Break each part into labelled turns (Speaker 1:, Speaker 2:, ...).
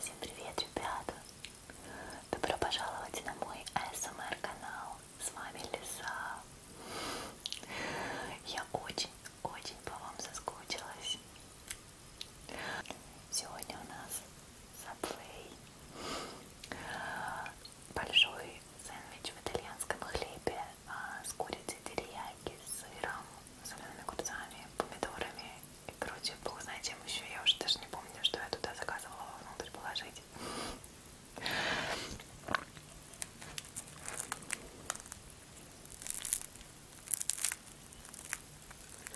Speaker 1: Всем привет, ребята! Добро пожаловать на мой ASMR канал. С вами Лиса. Я очень-очень по вам соскучилась. Сегодня у нас Subway большой сэндвич в итальянском хлебе а, с курицей терияки, с сыром, солеными огурцами, помидорами и короче, бог знает чем еще. Я уже даже не помню, что я туда заказывала вовнутрь положить.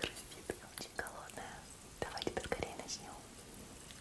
Speaker 1: Простите, я очень голодная. Давайте поскорее начнем.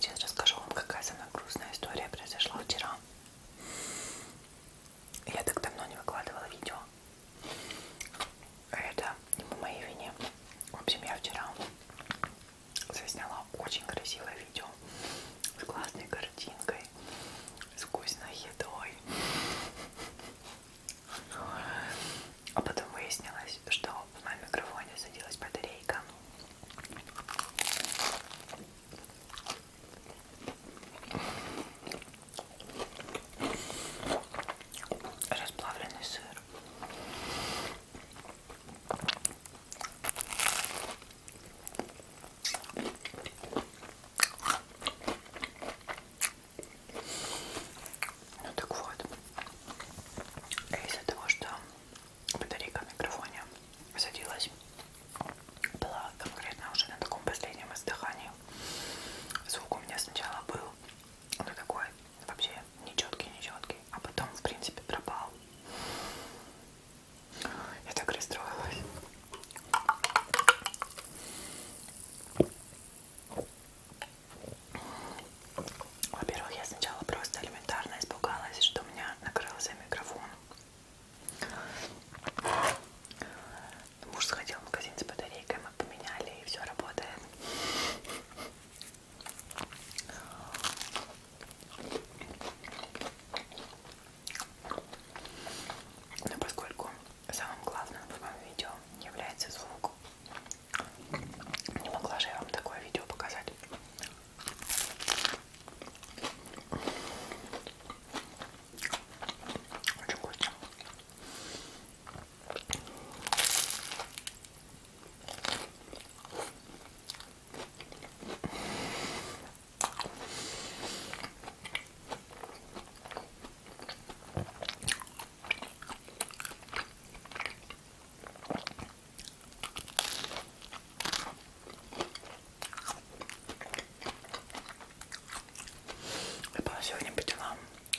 Speaker 1: Сейчас расскажу вам, какая самая грустная история произошла вчера. Я так давно не выкладывала видео. Это не по моей вине. В общем, я вчера засняла очень красивое видео с классной картинкой, с вкусной едой. А потом выяснилось, что в моем микрофоне садилась батарейка. Расплавленный сыр. Ну так вот, из-за того, что батарейка в микрофоне садилась, была конкретно уже на таком последнем издыхании. Звук у меня сначала был, ну такой, вообще нечеткий, нечеткий, а потом, в принципе, пропал. Я так расстроилась. Во-первых, я сначала просто элементарно испугалась, что у меня накрылся микрофон. Муж сходил в магазин с батарейкой, мы поменяли, и все работает. Но поскольку самым главным в моем видео является звук, не могла же я вам такое видео показать. Очень вкусно. Я была сегодня по делам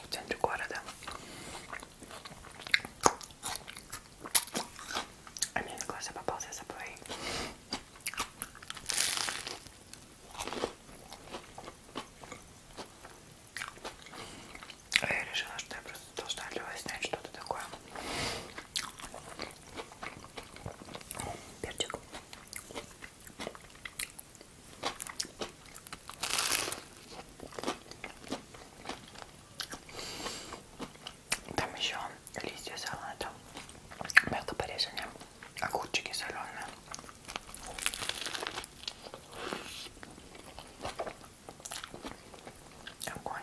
Speaker 1: в центре города. А мне на глаза попался забой. А я решила, что я просто должна для вас снять что-то такое. Перчик. Там еще листья салата, мелко порезанные огурчики соленые. Огонь.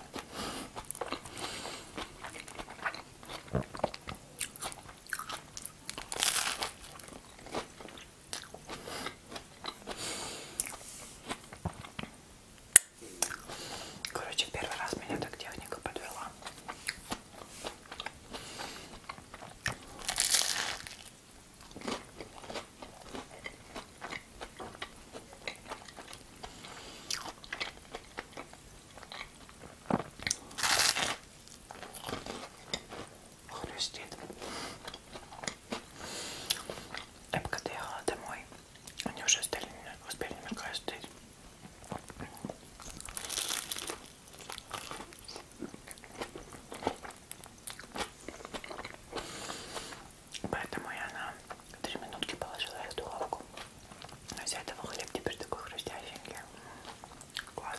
Speaker 1: Короче, первый раз меня так техника подвела. Хрустит. Я пока доехала домой, они уже стали, успели на каждый Поэтому я на 3 минутки положила их в духовку. Но из этого хлеб теперь такой хрустященький. Класс.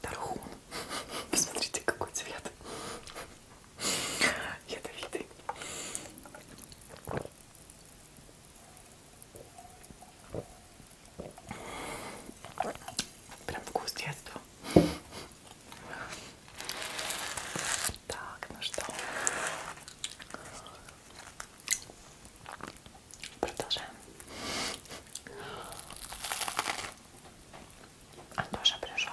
Speaker 1: Тархун. Посмотрите, какой цвет. Ядовитый. Прям вкус детства. Так, ну что, продолжаем. Антоша пришел.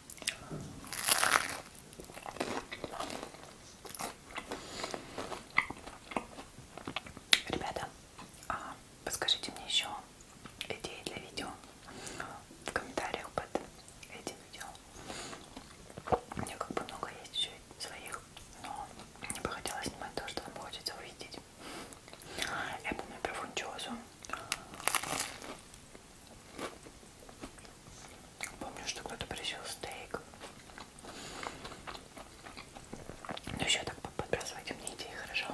Speaker 1: Ребята, а подскажите мне еще идеи для видео в комментариях под этим видео. У меня как бы много есть еще своих, но мне бы хотелось снимать то, что вам хочется увидеть. Я помню про фунчозу. Помню, что кто-то просил стейк. Ну еще так подбрасывайте мне идеи, хорошо?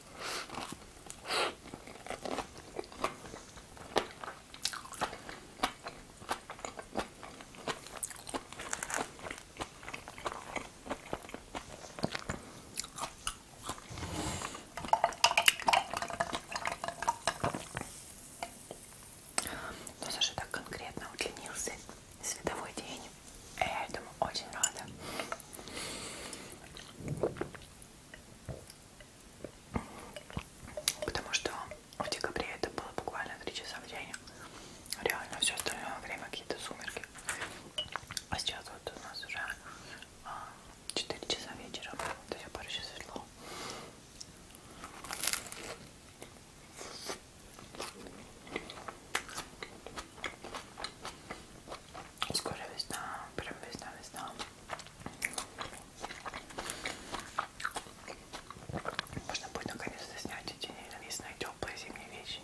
Speaker 1: Но ну, Саша так конкретно удлинился световой день. Э, я этому очень рада. Потому что в декабре это было буквально 3 часа в день. Реально все остальное время какие-то сумерки. А сейчас вот у нас уже 4 а, часа вечера. То есть пару часов светло. Скоро весна, прям весна, весна. Можно будет наконец-то снять эти ненавистные теплые зимние вещи.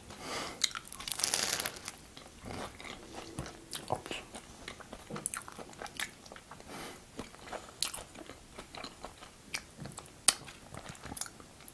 Speaker 1: Опс.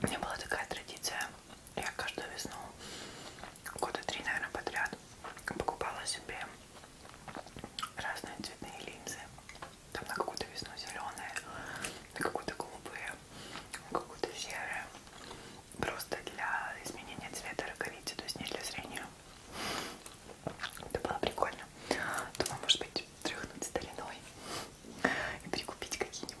Speaker 1: У меня была такая традиция. Я каждую весну, года три, наверное, подряд, покупала себе разные цветные линзы. Там на какую-то весну зеленые, на какую-то голубые, на какую-то серые. Просто для изменения цвета роговицы, то есть не для зрения. Это было прикольно. Думаю, может быть, тряхнуть стариной и прикупить какие-нибудь.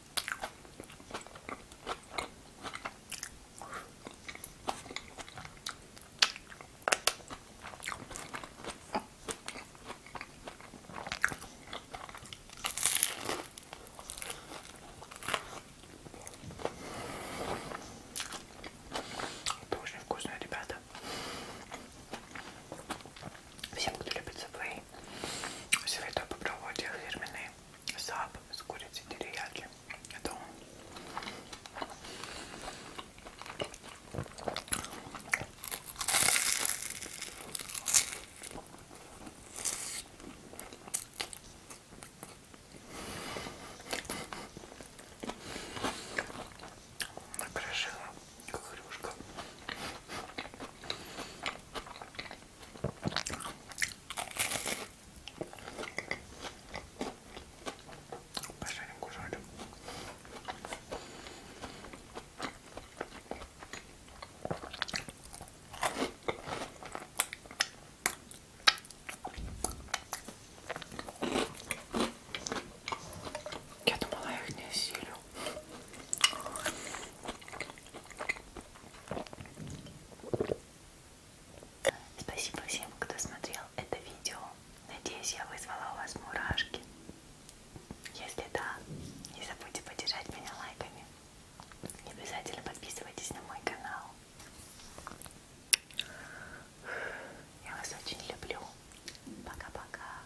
Speaker 1: Это очень вкусно, ребята. Всем, кто любит Subway, советую попробовать их фирменный саб с курицей терияки. Это он. Накрошила как хрюшка. Пожарим кушарик. Я думала, я их не осилю. Спасибо всем, кто смотрел это видео. Надеюсь, я вызвала у вас мурашки. Если да, не забудьте поддержать меня лайками. И обязательно подписывайтесь на мой канал. Я вас очень люблю. Пока-пока.